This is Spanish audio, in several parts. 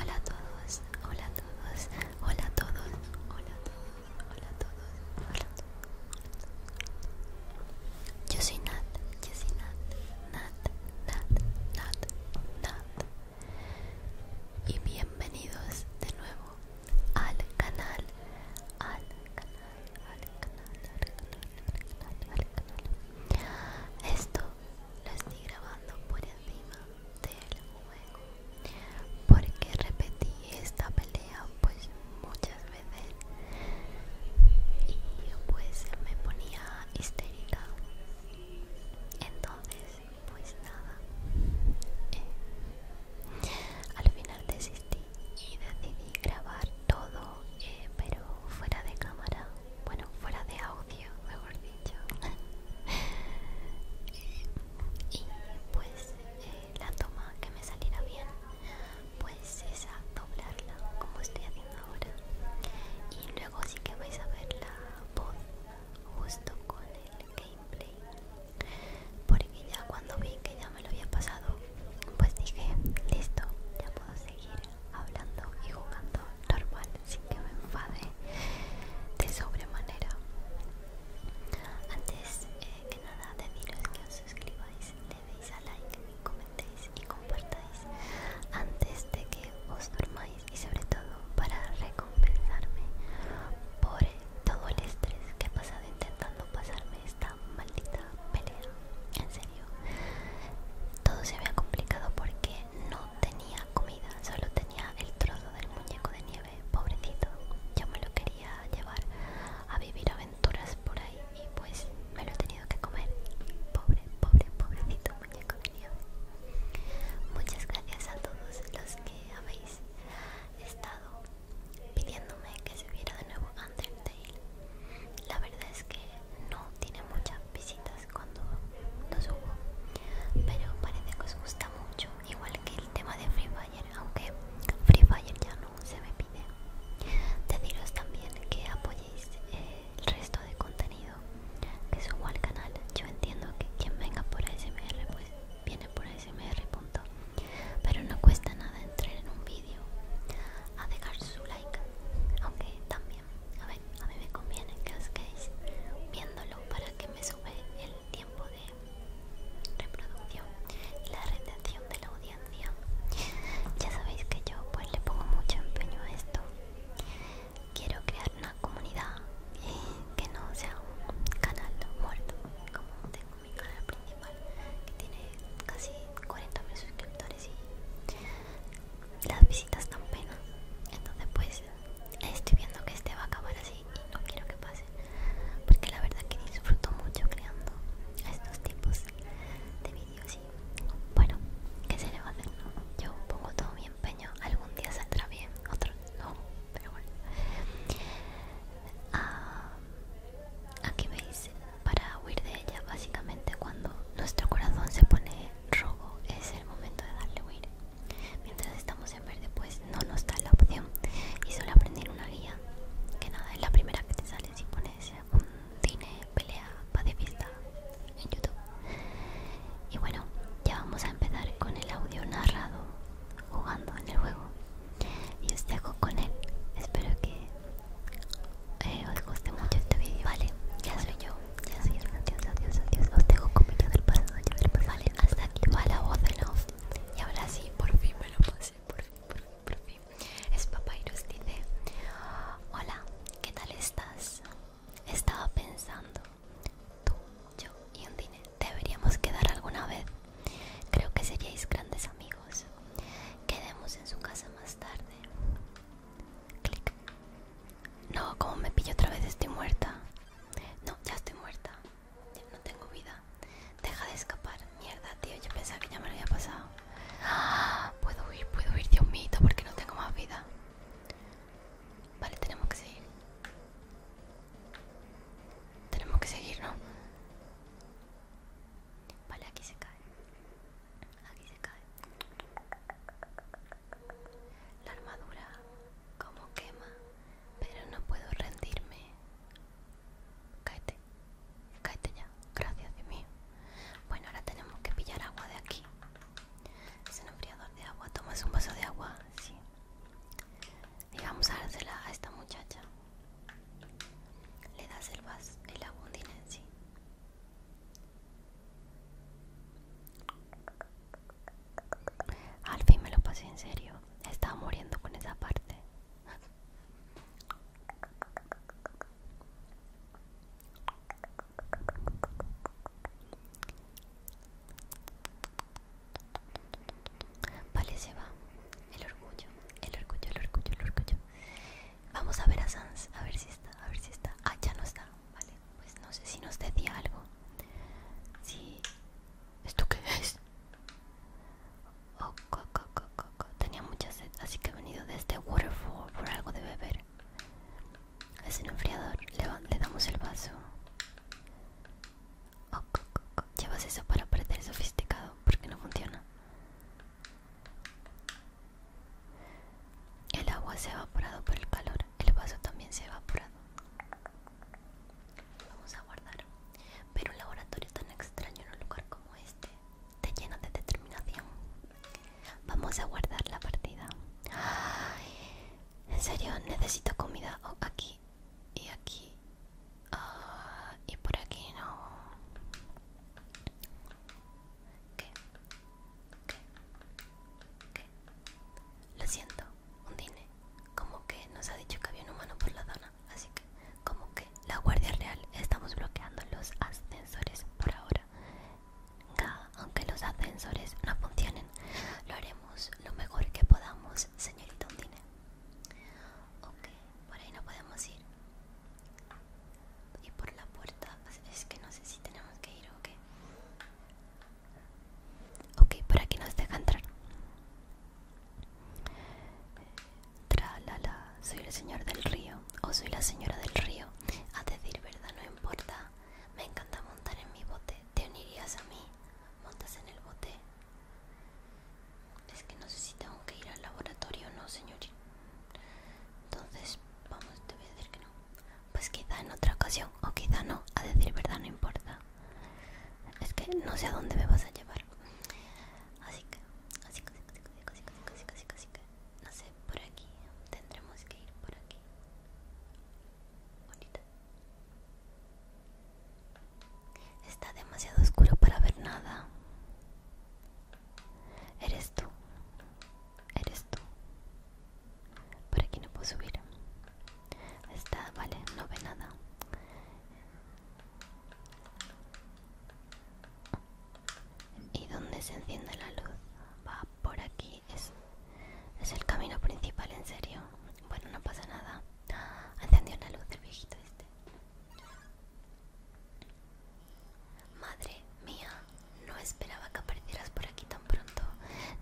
Hola a todos, hola a todos, hola a todos, hola a todos, hola a todos, hola a todos. Yo soy Nat, yo soy Nat, Nat, Nat, Nat, Nat. Y bienvenidos de nuevo al canal, al canal, al canal, al canal, al canal, al canal. Esto lo estoy grabando por encima del juego porque repetí esta pelea pues muchas veces y pues me ponía histérica entonces pues nada eh, al final desistí y decidí grabar todo eh, pero fuera de cámara bueno fuera de audio mejor dicho y pues eh, la toma que me saliera bien pues es doblarla como estoy haciendo ahora y luego sí que vais a ver la voz justo con el gameplay porque ya cuando vi que ya me lo había pasado pues dije listo ya puedo seguir hablando y jugando normal sin que me enfade de sobremanera antes eh, que nada deciros que os suscribáis le deis a like comentéis y compartáis antes de que os durmáis y sobre todo para recompensarme por todo el estrés que he pasado intentando pasarme esta maldita pelea. En serio, todo se había complicado porque no tenía comida, solo tenía el trozo del muñeco de nieve, pobrecito. Yo me lo quería llevar a vivir aventuras por ahí y pues me lo he tenido que comer. Pobre, pobre, pobrecito muñeco de nieve. Muchas gracias a todos los que habéis He estado pidiéndome que se viera de nuevo Undertale. La verdad es que no tiene muchas visitas cuando subo, pero parece que os gusta mucho, igual que el tema de Free Fire, aunque Free Fire ya no se me pide. Deciros también que apoyéis eh, el resto de contenido que subo al canal. Yo entiendo que quien venga por ASMR pues viene por smr. Pero no cuesta nada entrar en un vídeo a dejar su like, aunque también a, ver, a mí me conviene que os quedéis viéndolo para que me sube el tiempo de reproducción y la retención de la audiencia. Ya sabéis que yo pues le pongo mucho empeño a esto quiero crear una comunidad eh, que no sea un canal muerto como tengo mi canal principal que tiene casi 40.000 suscriptores y las visitas tan pena entonces pues estoy viendo que este va a acabar así y no quiero que pase porque la verdad que disfruto mucho creando estos tipos de vídeos y bueno que se le va a hacer yo pongo todo mi Algún día saldrá bien, otro no, pero bueno. Ah, aquí veis, para huir de ella, básicamente cuando nuestro corazón se pone rojo es el momento de darle huir. Mientras estamos en verde, pues no nos da la opción. Y solo aprender una guía, que nada, es la primera que te sale si pones un cine pelea fiesta en YouTube. Y bueno, ya vamos a empezar con el audio narrado jugando en el juego. Y os dejo con él. Espero que eh, os guste mucho este vídeo. Vale, ya soy yo. Ya soy yo. Adiós, adiós, adiós. Os dejo con del pasado. Yo del pasado. Vale, hasta aquí va la voz de off. Y ahora sí, por fin me lo pasé. Por fin, por fin, por fin. Es Papyrus, dice: Hola, ¿qué tal estás? Estaba pensando tú, yo y un deberíamos quedar alguna vez. Creo que seríais grandes amigos. Quedemos en su casa más tarde. Clic. No, como me pillo otra vez estoy muerta. No, ya estoy muerta. Ya no tengo vida. Deja de escapar. Mierda, tío. Yo pensaba que ya me lo había pasado. ¡Ah! Puedo huir, puedo huir, un mío, porque no tengo más vida. Vale, tenemos que seguir. Tenemos que seguir, ¿no? Vale, aquí se cae. Aquí se cae. La armadura como quema, pero no puedo rendirme. Caete Caete ya, gracias Dios mío. Bueno, ahora tenemos que pillar agua de aquí. Es un enfriador de agua. Tomas un vaso de agua, sí. Digamos a dársela a esta muchacha. Le das el vaso, el agua en sí. Al fin me lo pasé en serio. Estaba muriendo con esa parte. Vale, se va. El orgullo, el orgullo, el orgullo, el orgullo. Vamos a ver a Sans, a ver si está, a ver si está. Ah, ya no está. Vale, pues no sé si nos decía algo. Sí. ¿Esto qué es? Oh, Tenía mucha sed, así que he venido de este Waterfall por algo de beber. Es un enfriador. Le, damos el vaso. Oh, Llevas eso para parecer sofisticado porque no funciona. El agua se ha evaporado por el calor. El vaso también se ha evaporado. vamos a guardar. Pero un laboratorio tan extraño en un lugar como este te llena de determinación. Vamos a guardar la partida. Ay, en serio, necesito comida aquí y aquí ah, y por aquí no. ¿Qué? ¿Qué? ¿Qué? Lo siento, un dine. Como que nos ha dicho que había un humano por la zona, así que como que la Guardia Real estamos bloqueando los ascensores por ahora aunque los ascensores no funcionen, lo haremos lo mejor que podamos, señorita Undine Ok, por ahí no podemos ir. Y por la puerta, es que no sé si tenemos que ir o qué. Ok, por aquí nos deja entrar. Tra la la, soy el señor del río o soy la señora del río. A decir verdad, no importa me encanta montar en mi bote. ¿Te unirías a mí? ¿Montas en el bote? Es que no sé si tengo que ir al laboratorio no, señorita? Entonces, vamos, te voy a decir que no. Pues quizá en otra ocasión, o quizá no, a decir verdad no importa. Es que no sé a dónde me vas a llevar. Así que, así que, así que, así que, así que, así que, así que, así que, así que no sé, por aquí, tendremos que ir por aquí. Está demasiado oscuro para ver nada. Eres tú. Eres tú. Por aquí no puedo subir. Está, vale, no ve nada. ¿Y dónde se enciende la luz? Va por aquí es, el camino principal, en serio. Bueno, no pasa nada. Encendió una luz del viejito este. Madre mía, no esperaba que aparecieras por aquí tan pronto.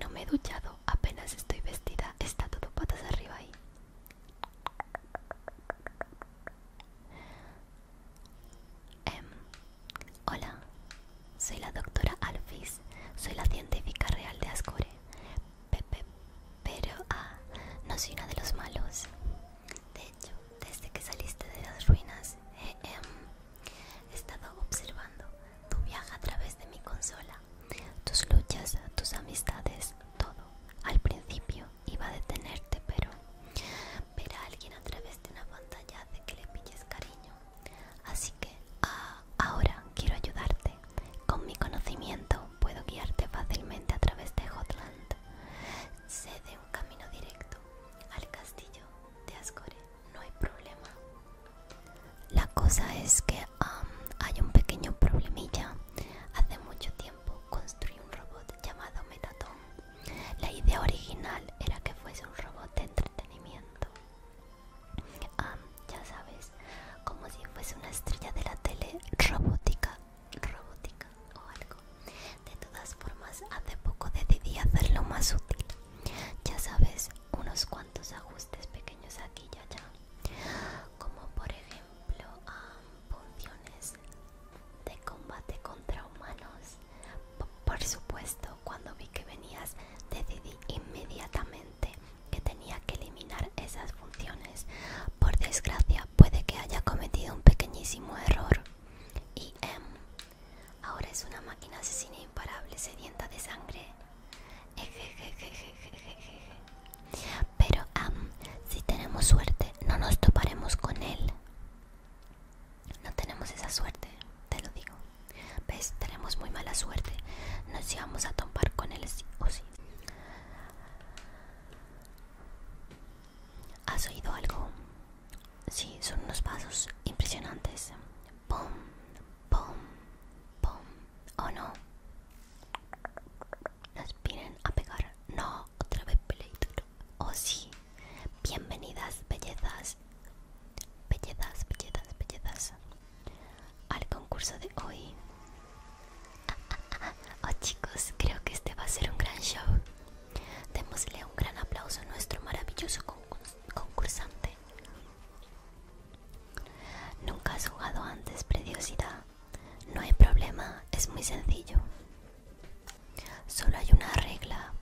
No me he duchado, apenas estoy vestida. Está todo patas arriba ahí. Em, Hola, soy la doctora Alphys, soy la científica real de Ascore. Pepe, pero, ah, no soy una de los malos. De hecho, desde que saliste de las ruinas, eh, em, he estado observando tu viaje a través de mi consola, tus luchas, tus amistades, todo. Al principio iba a detenerte, pero ver a alguien a través de una pantalla hace que le pilles cariño. Así que ah, ahora quiero ayudarte. Con mi conocimiento puedo guiarte fácilmente a través de Hotland. Sé de un camino directo al castillo de Ascore. No hay problema. La cosa es que hay un pequeño problemilla. Hace mucho tiempo construí un robot llamado Metatón la idea original era que fuese un robot de entretenimiento. ya sabes, como si fuese una estrella de la tele robótica, robótica o algo. De todas formas, hace poco decidí hacerlo más útil. Ya sabes, unos cuantos ajustes pequeños aquí y allá. Como por ejemplo, funciones de combate contra humanos por supuesto, cuando vi que venías, decidí inmediatamente que tenía que eliminar esas funciones. Por desgracia, puede que haya cometido un pequeñísimo error. Y Ahora es una máquina asesina imparable, sedienta de sangre. Pero si tenemos suerte, no nos toparemos con él. No tenemos esa suerte, te lo digo. ¿Ves? Tenemos muy mala suerte. Nos íbamos a tomar con él o sí. ¿Has oído algo? Sí, son unos pasos impresionantes. Pum, pum, pum. ¿O no. Nos vienen a pegar. No, otra vez O sí. Bienvenidas, bellezas, bellezas, bellezas, bellezas, al concurso de hoy. Oh chicos, creo que este va a ser un gran show. Démosle un gran aplauso a nuestro maravilloso concursante. Nunca has jugado antes, Prediosidad. No hay problema, es muy sencillo. Solo hay una regla.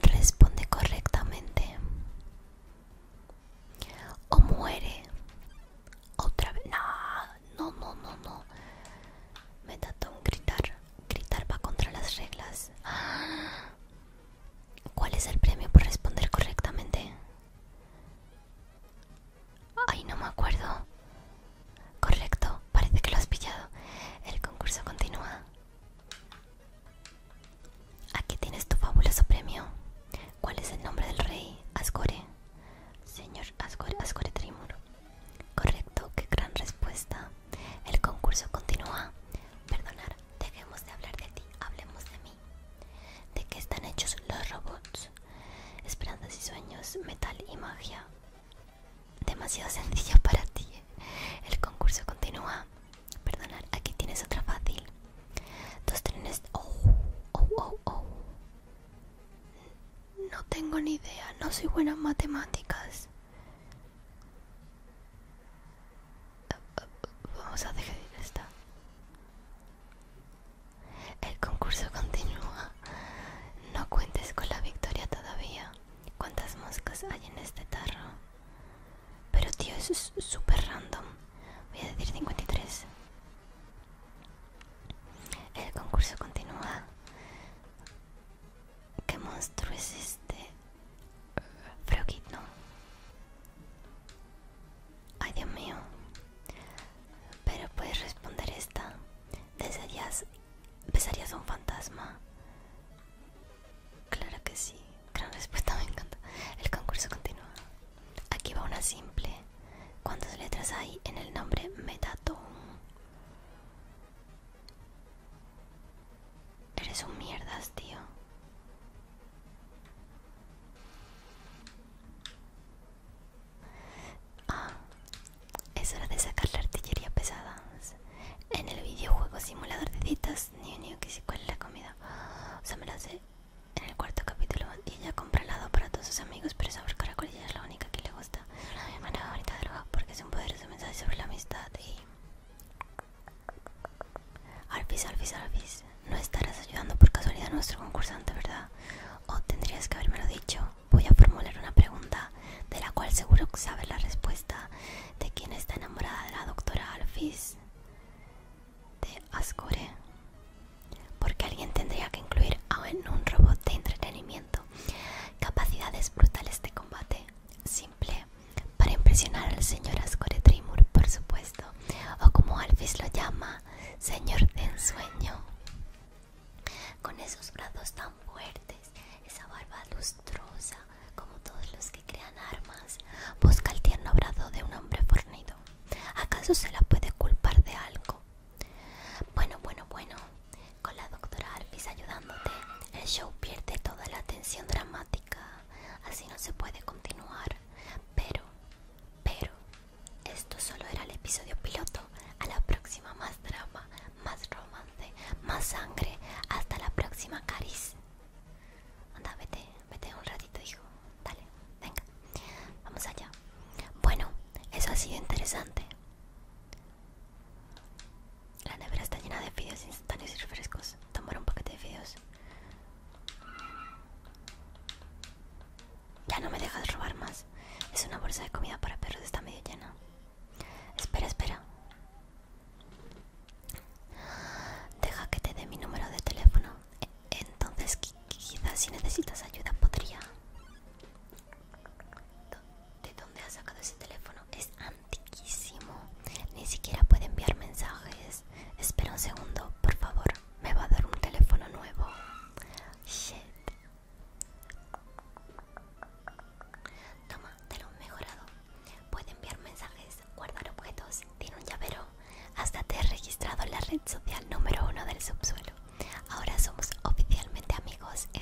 Responde correctamente. O muere. Otra vez. No, no, no, no, no. Me da un gritar. Gritar va contra las reglas. ¿Cuál es el premio por responder correctamente? Ay, no me acuerdo. Correcto, parece que lo has pillado. El concurso continúa. Aquí tienes tu fabuloso premio. ¿Cuál es el nombre del rey? Ascore. Señor Asgore Ascore Trimur. Correcto, qué gran respuesta. El concurso continúa. Perdonar, dejemos de hablar de ti, hablemos de mí. ¿De qué están hechos los robots? Esperanzas y sueños, metal y magia demasiado sencillo para ti. El concurso continúa. Perdonar, aquí tienes otra fácil. Dos trenes. Oh, oh, oh, oh, No tengo ni idea, no soy buena en matemáticas. Vamos a dejar ir esta. El concurso continúa. No cuentes con la victoria todavía. ¿Cuántas moscas hay en este tarro? Pero tío, es súper random. Voy a decir 53. El concurso continúa. ¿Qué monstruo es este? Frogito Ay, Dios mío. Pero puedes responder esta. Desde jazz ¿Besarías a un fantasma? Claro que sí. Gran respuesta, me encanta. El concurso continúa. Aquí va una simple. ¿Cuántas letras hay en el nombre Metatom? Eres un mierdas, tío. Ah, es hora de sacar la artillería pesada. En el videojuego simulador de citas, niño, que si cuál la comida. O sea, me la sé. En el cuarto capítulo, ella compra helado para todos sus amigos, pero sabor caracol es la única que le gusta. La hermana manera bonita del porque es un poderoso mensaje sobre la amistad y... Alvis, Alvis, Alvis, no estarás ayudando por casualidad a nuestro concursante, ¿verdad? O tendrías que habérmelo dicho. Voy a formular una pregunta de la cual seguro que sabe la respuesta, de quien está enamorada de la doctora Alphys de Ascore. Porque alguien tendría que incluir en un robot de entretenimiento capacidades brutales de combate, simple, para impresionar al señor Ascore Trimur, por supuesto, o como Alphys lo llama, señor de ensueño. Con esos brazos tan fuertes esa barba lustrosa como todos los que crean armas? Busca el tierno abrazo de un hombre fornido. ¿Acaso se la puede culpar de algo? Bueno, bueno, bueno. Con la doctora Alvis ayudándote, el show pierde toda la tensión dramática. Así no se puede continuar. Pero, pero, esto solo era el episodio piloto. A la próxima más drama, más romance más sangre. Hasta la próxima, Caris. Anda, vete, vete un ratito, hijo. Dale, venga. Vamos allá. Bueno, eso ha sido interesante. La nevera está llena de fideos instantáneos y refrescos. Tomar un paquete de fideos. Ya no me dejas robar más. Es una bolsa de comida para perros, está medio llena. Espera, espera. Deja que te dé mi número de teléfono. E, entonces, quizás si necesitas ayuda, podría. ¿De dónde has sacado ese teléfono? Es antiquísimo. Ni siquiera puede enviar mensajes. Espera un segundo, por favor. Me va a dar un teléfono nuevo. Toma, te lo he mejorado. Puede enviar mensajes, guardar objetos, tiene un llavero. Hasta te he registrado en la red social número uno del subsuelo. Ahora somos oficialmente amigos.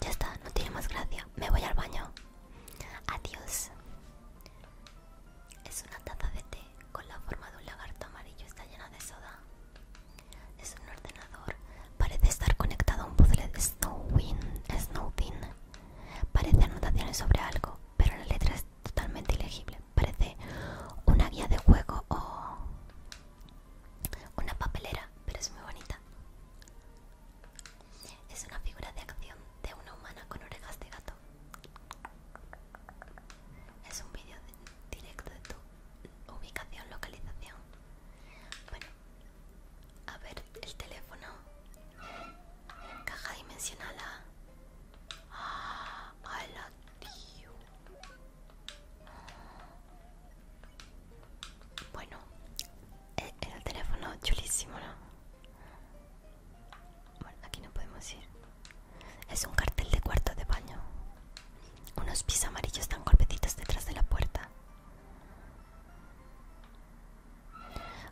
Ya está, no tiene más gracia. Me voy al baño. Adiós. Es una taza de té con la forma de un lagarto amarillo está llena de soda. Es un ordenador. Parece estar conectado a un puzzle de Snowdin. Parece anotaciones sobre algo, pero la letra es totalmente ilegible. Parece una guía de juego o una papelera, pero es muy bonita. Es una figura de acción de una humana con orejas de gato es un vídeo directo de tu ubicación, localización. Bueno, a ver el teléfono. Caja dimensional ah, Bueno, el, el teléfono chulísimo, ¿no? Bueno, aquí no podemos ir. Es un cartel de cuarto de baño. Unos pis amarillos están golpecitos detrás de la puerta.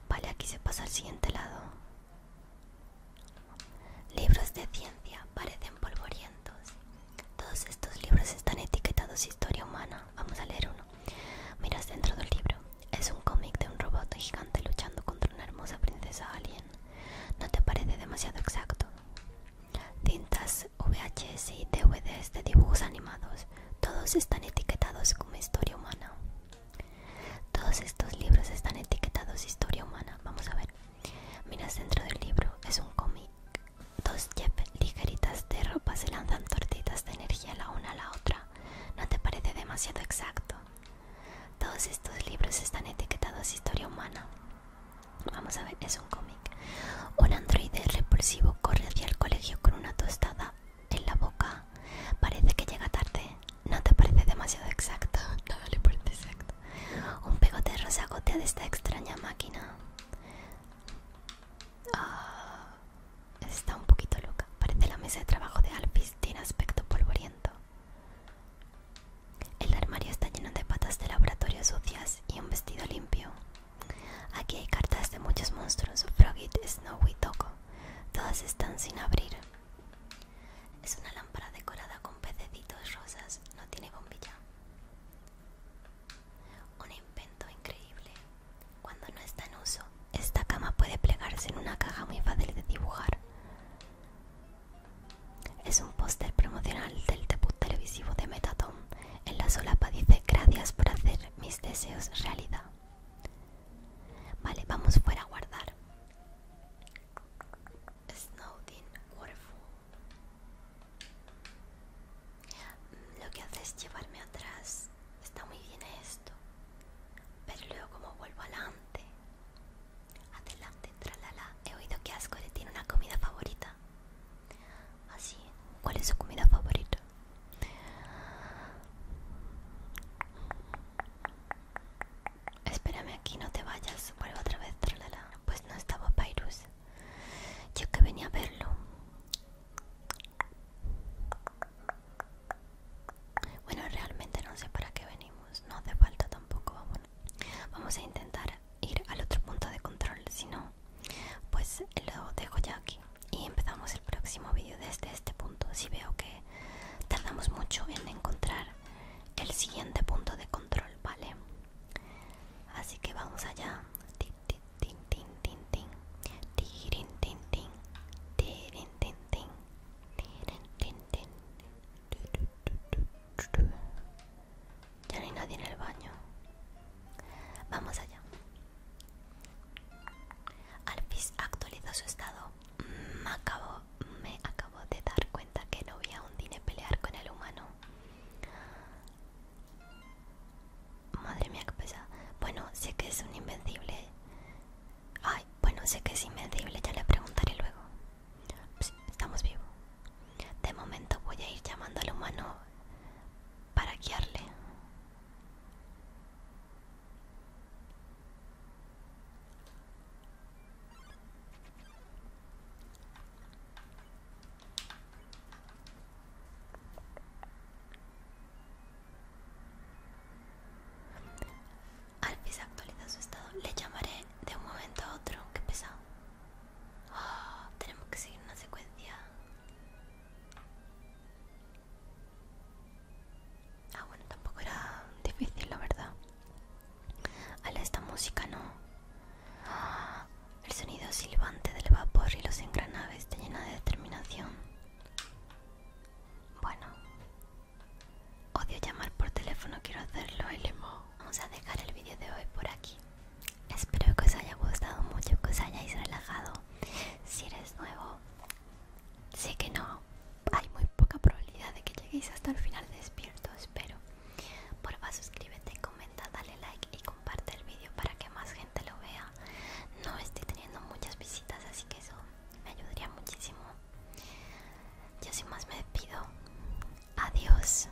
Vale, aquí se pasa al siguiente lado. Libros de ciencia parecen polvorientos. Todos estos libros están etiquetados historia humana. Vamos a leer uno. Miras dentro del libro. Es un cómic de un robot gigante luchando contra una hermosa princesa alien. ¿No te parece demasiado exacto? Tintas, VHS y DVDs de dibujos animados, todos están etiquetados como historia humana. Todos estos libros están etiquetados historia humana. Vamos a ver. Miras dentro del libro, es un cómic. Dos jefes ligeritas de ropa se lanzan tortitas de energía la una a la otra. ¿No te parece demasiado exacto? Todos estos libros están etiquetados historia humana. Vamos a ver, es un cómic. Un androide repulsivo corre hacia el colegio con una tostada en la boca. Parece que llega tarde. No te parece demasiado exacto. No le parece exacto. Un pegote rosa gotea de esta extraña máquina. Ah, está un poquito loca. Parece la mesa de trabajo de Alpis. Tiene aspecto polvoriento. El armario está lleno de patas de laboratorio sucias y un vestido limpio. Aquí hay cartas de muchos monstruos, Froggy, Snowy y Toco Todas están sin abrir. Es una lámpara decorada con pececitos rosas, no tiene bombilla. Un invento increíble. Cuando no está en uso, esta cama puede plegarse en una caja muy fácil de dibujar. Es un póster promocional del debut televisivo de Metaton. En la solapa dice gracias por hacer mis deseos realidad. Vale, vamos fuera a guardar. Snowdin Waterfall. Lo que hace es llevarme atrás. Está muy bien esto. Pero luego como vuelvo adelante. Adelante, tralala. He oído que Asgore tiene una comida favorita. Así, ¿Ah, ¿cuál es su comida favorita? Espérame aquí, no te vayas. Vuelvo otra vez, tralala. Pues no estaba Pyrus. Yo que venía a verlo. Bueno, realmente no sé para qué venimos, no hace falta tampoco, vamos. a intentar ir al otro punto de control, si no, pues lo dejo ya aquí y empezamos el próximo vídeo desde este punto. Si veo que tardamos mucho en encontrar el siguiente punto de control, ¿vale? Así que vamos allá. Ya no hay nadie en el baño. Vamos allá. Alfis actualizó su estado. Me mm, acabo, me acabo de dar cuenta que no había a un Dine pelear con el humano. Madre mía, qué pesa. Bueno, sé que es un invencible. Ay, bueno, sé que es inmedible, ya le preguntaré luego. estamos vivos. De momento voy a ir llamando al humano para guiarle. Alphys actualiza su estado. Le llamaré de un momento a otro. que pesado. Ah, tenemos que seguir una secuencia. Ah, bueno, tampoco era difícil, la verdad. a esta música no. Ah, el sonido silbante del vapor y los engranajes te llena de determinación. Bueno, Odio llamar por teléfono, quiero hacerlo en Vamos a dejar el vídeo de hoy por aquí. Espero que os haya gustado mucho, que os hayáis relajado. Si eres nuevo, sé que no, hay muy poca probabilidad de que lleguéis hasta el final despierto, espero. favor suscríbete, comenta, dale like y comparte el vídeo para que más gente lo vea. No estoy teniendo muchas visitas, así que eso me ayudaría muchísimo. y así más me despido. Adiós.